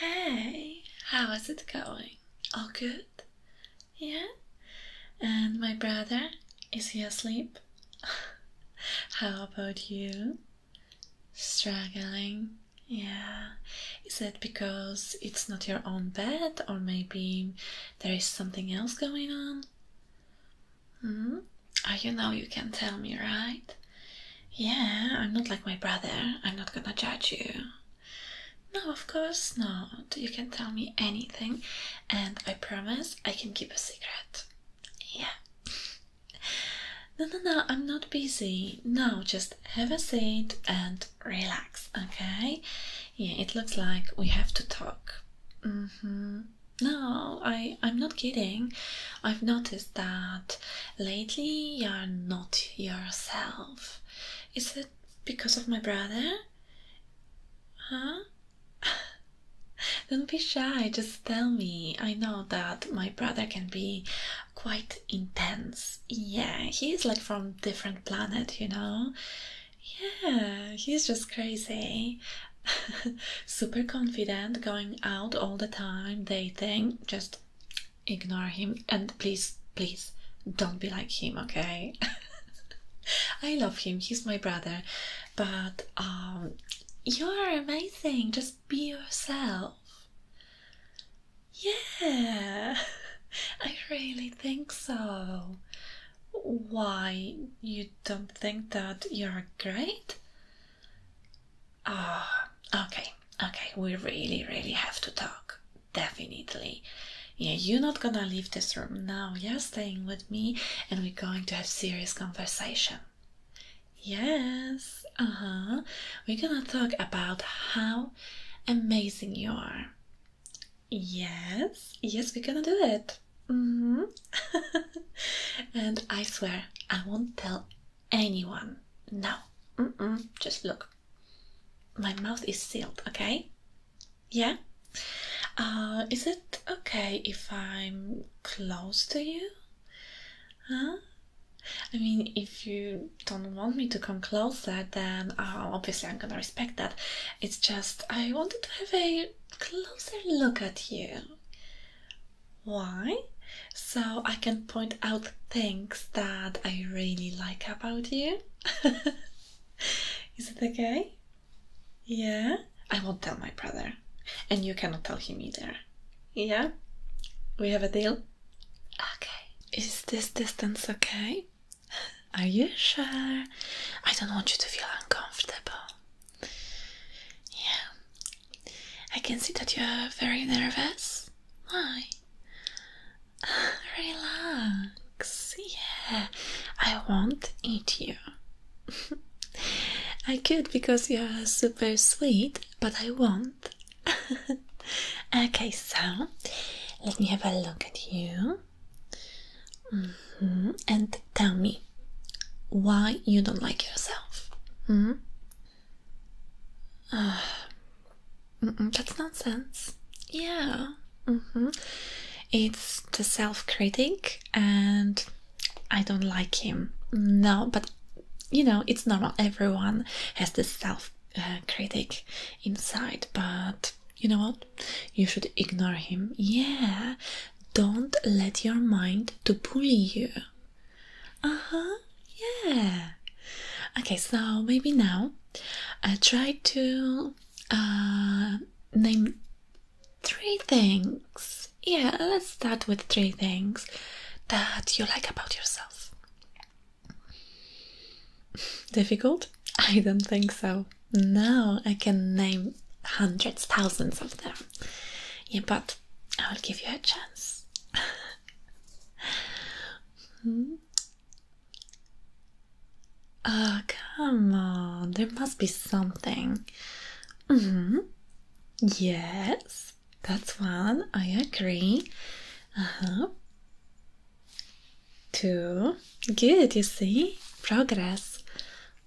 Hey, how is it going? All good? Yeah? And my brother, is he asleep? how about you? Struggling? Yeah. Is that because it's not your own bed or maybe there is something else going on? Hmm? Oh, you know you can tell me, right? Yeah, I'm not like my brother. I'm not gonna judge you. No, of course not. You can tell me anything, and I promise I can keep a secret. Yeah. No, no, no, I'm not busy. now. just have a seat and relax, okay? Yeah, it looks like we have to talk. Mm hmm. No, I, I'm not kidding. I've noticed that lately you're not yourself. Is it because of my brother? Huh? Don't be shy, just tell me. I know that my brother can be quite intense. Yeah, he's like from different planet, you know? Yeah, he's just crazy. super confident, going out all the time, They think just ignore him and please, please don't be like him, okay? I love him, he's my brother, but um, you're amazing, just be yourself. Yeah, I really think so. Why you don't think that you're great? Ah, okay, okay, we really, really have to talk. Definitely. Yeah, you're not gonna leave this room now. You're staying with me and we're going to have serious conversation. Yes, uh-huh. We're gonna talk about how amazing you are. Yes, yes, we're gonna do it. Mm -hmm. and I swear, I won't tell anyone. No, mm -mm. just look. My mouth is sealed, okay? Yeah? Uh, is it okay if I'm close to you? Huh? I mean, if you don't want me to come closer, then uh, obviously I'm gonna respect that. It's just I wanted to have a closer look at you. Why? So I can point out things that I really like about you? Is it okay? Yeah? I won't tell my brother. And you cannot tell him either. Yeah? We have a deal? Okay. Is this distance okay? Are you sure? I don't want you to feel uncomfortable. Yeah, I can see that you're very nervous. Why? Relax. Yeah, I won't eat you. I could because you're super sweet, but I won't. okay, so let me have a look at you mm-hmm. and tell me why you don't like yourself. -hmm. that's nonsense. Yeah. Mm-hmm. It's the self critic, and I don't like him. No, but you know, it's normal. Everyone has this self critic inside, but you know what? You should ignore him. Yeah. Don't let your mind to bully you uh-huh yeah okay so maybe now i try to uh name three things yeah let's start with three things that you like about yourself difficult i don't think so Now i can name hundreds thousands of them yeah but I will give you a chance. hmm? Oh, come on, there must be something. Mm-hmm. Yes, that's one, I agree. Uh-huh. Two, good, you see, progress.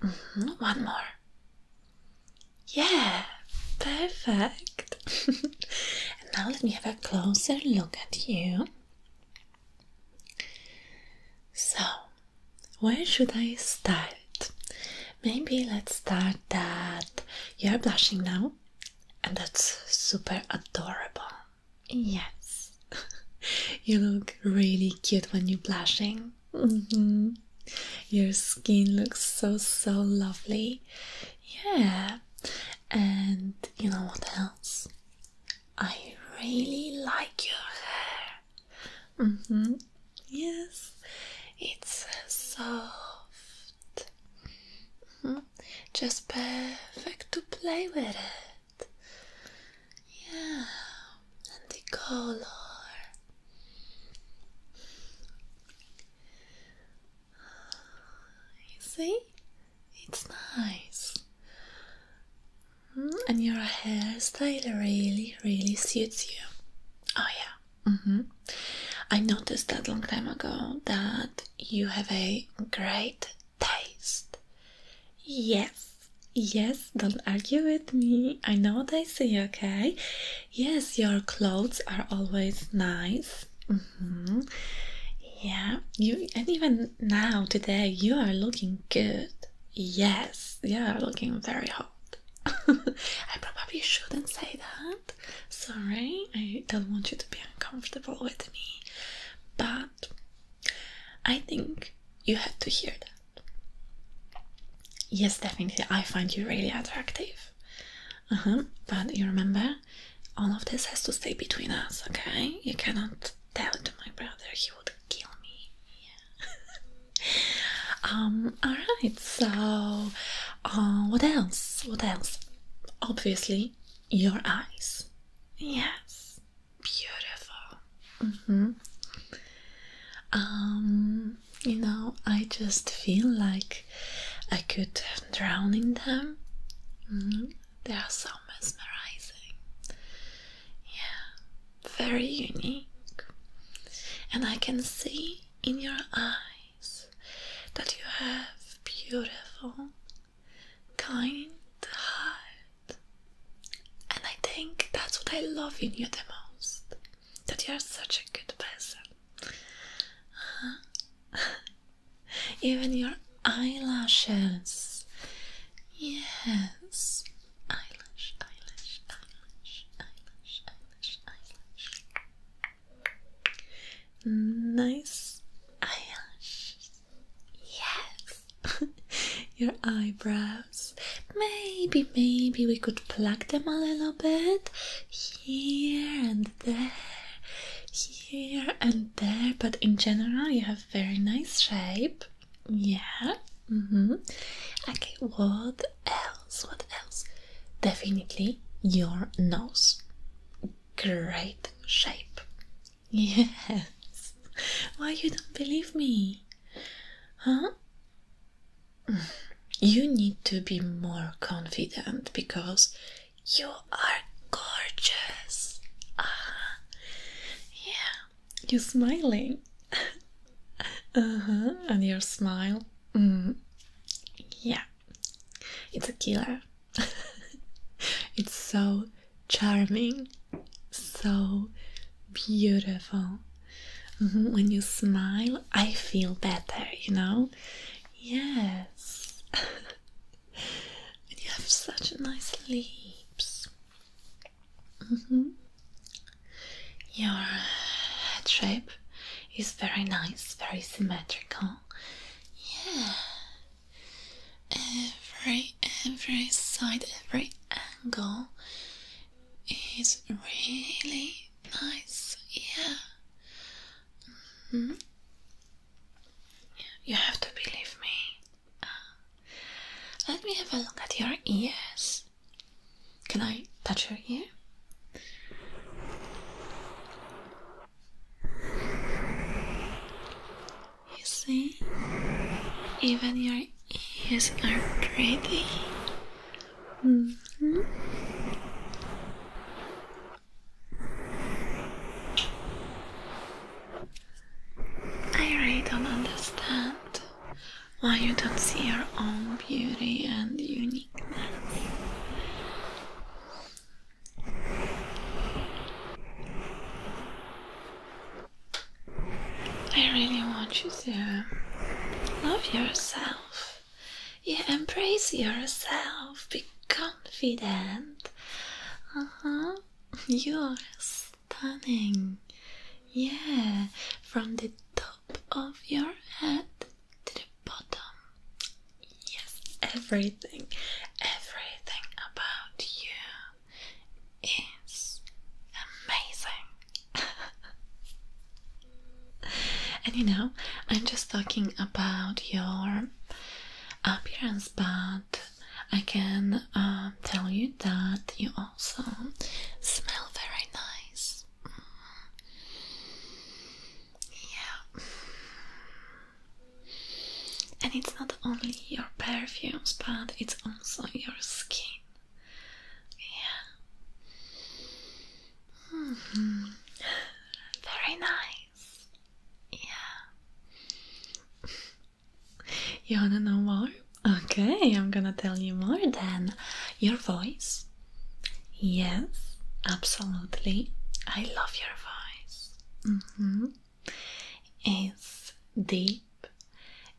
Mm-hmm. One more. Yeah, perfect. and now let me have a closer look at you. So, where should I start? Maybe let's start that you're blushing now, and that's super adorable. Yes, you look really cute when you're blushing. Mm-hmm. Your skin looks so so lovely. Yeah. And you know what else? I really like your hair. Mm hmm Yes. It's soft. Mm-hmm. Just perfect to play with it. Yeah. And the color. You see? It's nice. Hmm? And your hairstyle really, really suits you. Oh, yeah. Mm -hmm. I noticed that long time ago that you have a great taste. Yes, yes, don't argue with me. I know what I see, okay? Yes, your clothes are always nice. Mm-hmm. Yeah, you and even now today you are looking good. Yes, yeah, looking very hot. I probably shouldn't say that. Sorry, I don't want you to be uncomfortable with me. But I think you had to hear that. Yes, definitely. I find you really attractive. Uh-huh. But you remember, all of this has to stay between us, okay? You cannot tell to my brother; he would kill me. um. All right. So, uh, what else? What else? Obviously, your eyes. Yes. Beautiful. Mm hmm. Um. You know, I just feel like I could drown in them. Mm, they are so mesmerizing. Yeah, very unique. And I can see in your eyes that you have beautiful, kind heart. And I think that's what I love in you the most that you are such a good person. Even your eyelashes. Yes. Eyelash, eyelash, eyelash, eyelash, eyelash, eyelash. Nice eyelashes. Yes. your eyebrows. Maybe, maybe we could pluck them a little bit here and there, here and there. But in general, you have very nice shape. Yeah. Mm -hmm. Okay. What else? What else? Definitely your nose. Great shape. Yes. Why you don't believe me? Huh? you need to be more confident because you are gorgeous. Ah, yeah, you're smiling. uh huh, and your smile. Mm. Yeah, it's a killer. it's so charming, so beautiful when you smile, I feel better, you know? Yes. you have such nice lips. Mm-hmm. Your head shape is very nice, very symmetrical. Yeah. Every every side, every angle is really nice. Yeah. Mm You have to believe me. Uh, let me have a look at your ears. Can I touch your ear? You see, even your ears are pretty. Mm-hmm. I really don't understand why you don't see your own beauty and uniqueness. I really want you to love yourself. You embrace yourself, be confident. Uh huh. You're stunning. Yeah, from the top of your head to the bottom. Yes, everything, everything about you is amazing and you know, I'm just talking about your appearance, but I can um, tell you that you also smell very nice. Yeah. And it's not only your perfumes, but it's also your skin. Yeah. -hmm. Very nice. Yeah. You wanna know more? Okay, I'm gonna tell you more then. Your voice. Yes, absolutely. I love your voice. -hmm. It's deep,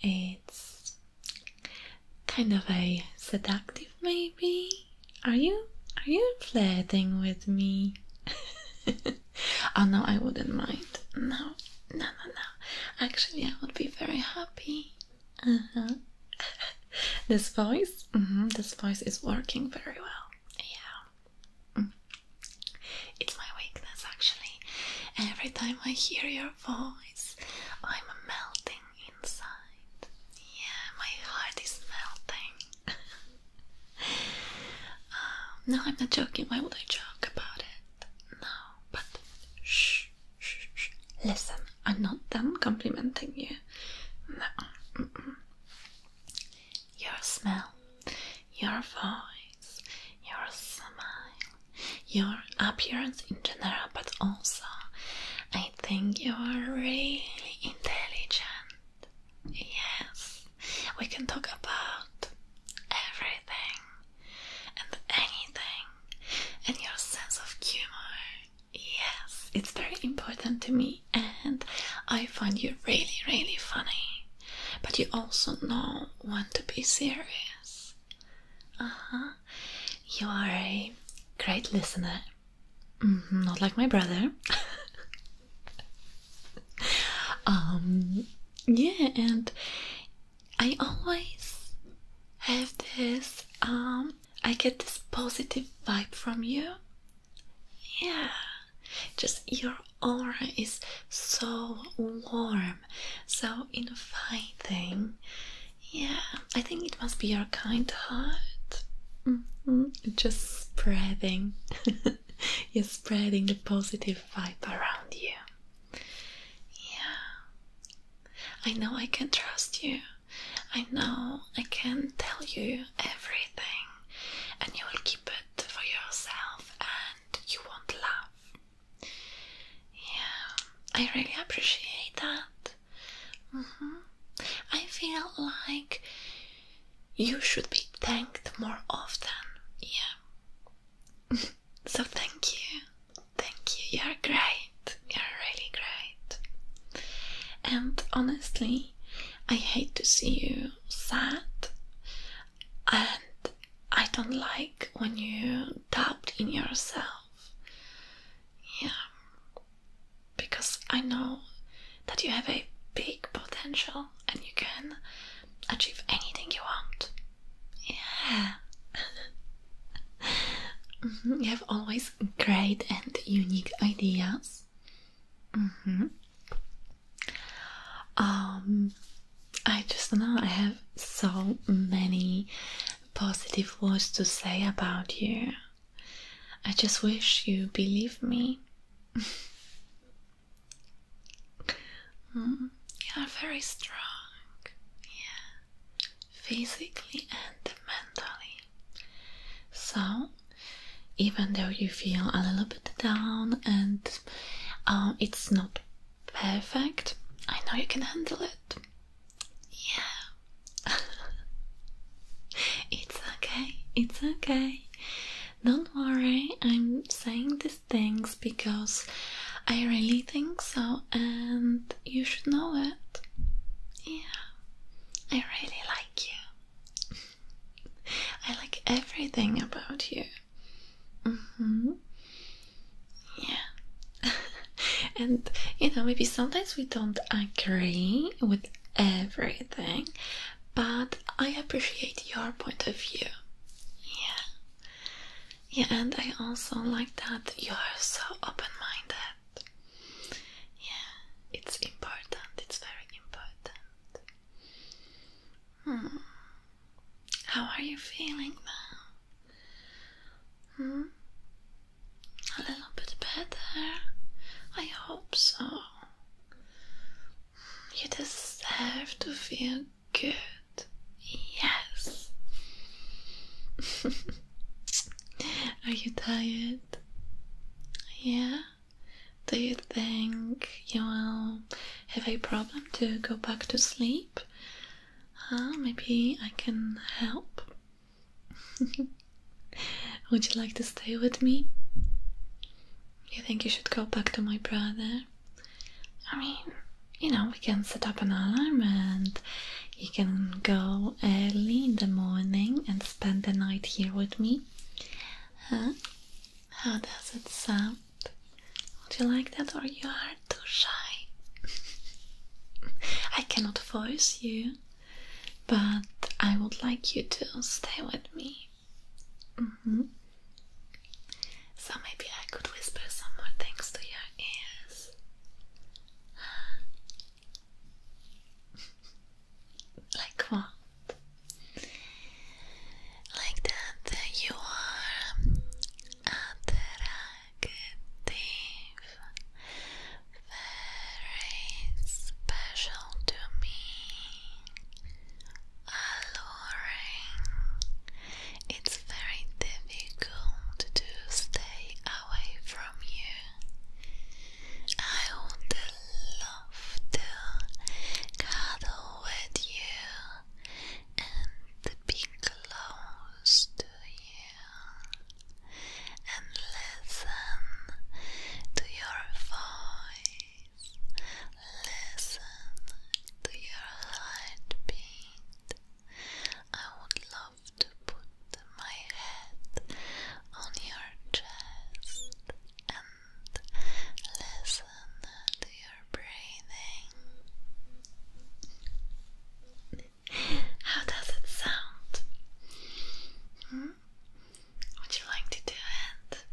it's kind of a seductive maybe are you are you flirting with me oh no i wouldn't mind no no no no actually i would be very happy uh-huh this voice mm -hmm, this voice is working very well yeah mm. it's my weakness actually every time i hear your voice i'm melting inside. Yeah, my heart is melting. Um, no, I'm not joking. Why would I joke about it? No, but shh, shh, shh. Listen, I'm not done complimenting you. No. Your smell, your voice, your smile, your appearance in general, but also I think you are really intelligent. Yes, we can talk about everything and anything, and your sense of humor. Yes, it's very important to me, and I find you really, really funny. But you also know when to be serious. Uh huh you are a great listener. Mm-hmm, not like my brother. um, yeah, and I always have this. Um, I get this positive vibe from you. Yeah, just your aura is so warm, so inviting. Yeah, I think it must be your kind heart. Mm-hmm. Just spreading. You're spreading the positive vibe around you. Yeah. I know I can trust you. I know I can tell you everything, and you will keep it for yourself and you won't laugh. Yeah, I really appreciate that. -hmm. I feel like you should be thanked more often. Yeah. so thank you. Thank you. You're great. You're really great. And honestly, I hate to see you sad. And I don't like when you doubt in yourself. Yeah. Because I know that you have a big potential and you can achieve anything you want. Yeah. Mm-hmm. You have always great and unique ideas. Mm-hmm. Um, I just know I have so many positive words to say about you. I just wish you believe me. Mm, you are very strong, yeah, physically and mentally. So, even though you feel a little bit down and um, it's not perfect, I know you can handle it. Yeah. it's okay, it's okay. Don't worry, I'm saying these things because I really think so and you should know it. Yeah, I really like you. I like everything about you. Mm -hmm. Yeah. and you know, maybe sometimes we don't agree with everything, but I appreciate your point of view. Yeah. Yeah, and I also like that you are so open-minded. Yeah, it's important. It's very important. Hmm. How are you feeling now? Hmm? A little bit better? I hope so. You deserve to feel good. Yes. Are you tired? Yeah? Do you think you will have a problem to go back to sleep? maybe I can help. Would you like to stay with me? You think you should go back to my brother? I mean, you know, we can set up an alarm and you can go early in the morning and spend the night here with me. Huh? How does it sound? Would you like that or you are too shy. I cannot force you, but I would like you to stay with me. Mm-hmm. So maybe I could whisper some more things to your ears. like what? Like that you are attractive, very special to me, alluring. It's very difficult to stay away from you. I would love to cuddle with you and be close to you and listen to your voice, listen to your heartbeat. I would love to put my head on your chest and listen to your breathing. How does it sound? Hmm? Would you like to do it?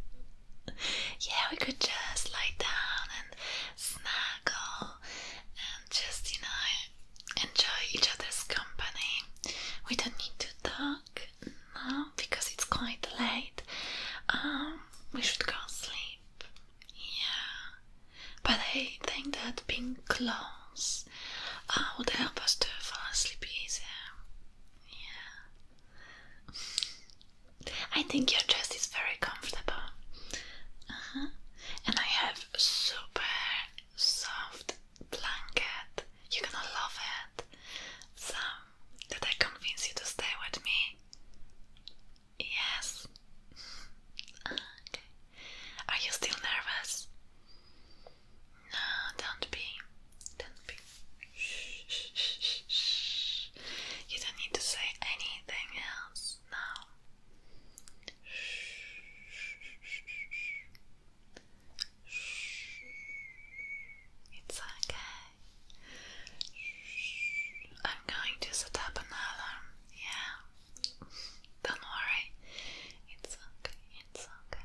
yeah, we could just lie down and snuggle and just, you know, enjoy each other's company. We don't need to talk now because it's quite late. Um, we should go sleep. Yeah, but I think that pink clothes uh, would help us to fall asleep easier. Yeah. I think your dress is very comfortable. Uh-huh. And I have a super soft blanket. You're gonna love it. So, did I convince you to stay with me? Yes. okay. Are you still nervous? No, don't be. Don't be. Shh, shh, shh, shh. You don't need to say anything else now. It's okay. I'm going to set up an alarm, yeah. Don't worry, it's okay, it's okay.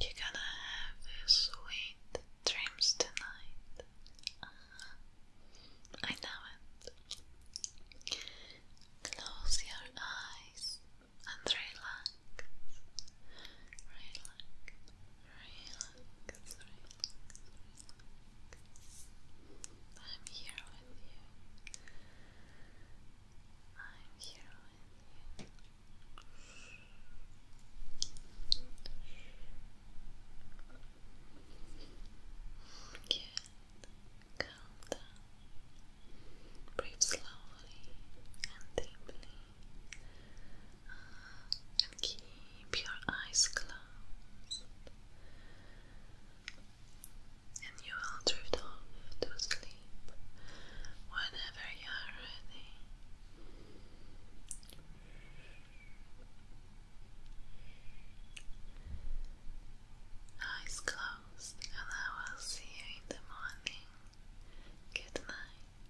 You're gonna have sweet dreams tonight. Uh-huh. I know it. Close your eyes and relax. Relax relax, I'm here with you. I'm here with you. Good. Calm down. Breathe slowly and deeply. Uh, keep your eyes closed and you will drift off to sleep whenever you are ready. Eyes closed, and I will see you in the morning. Good night.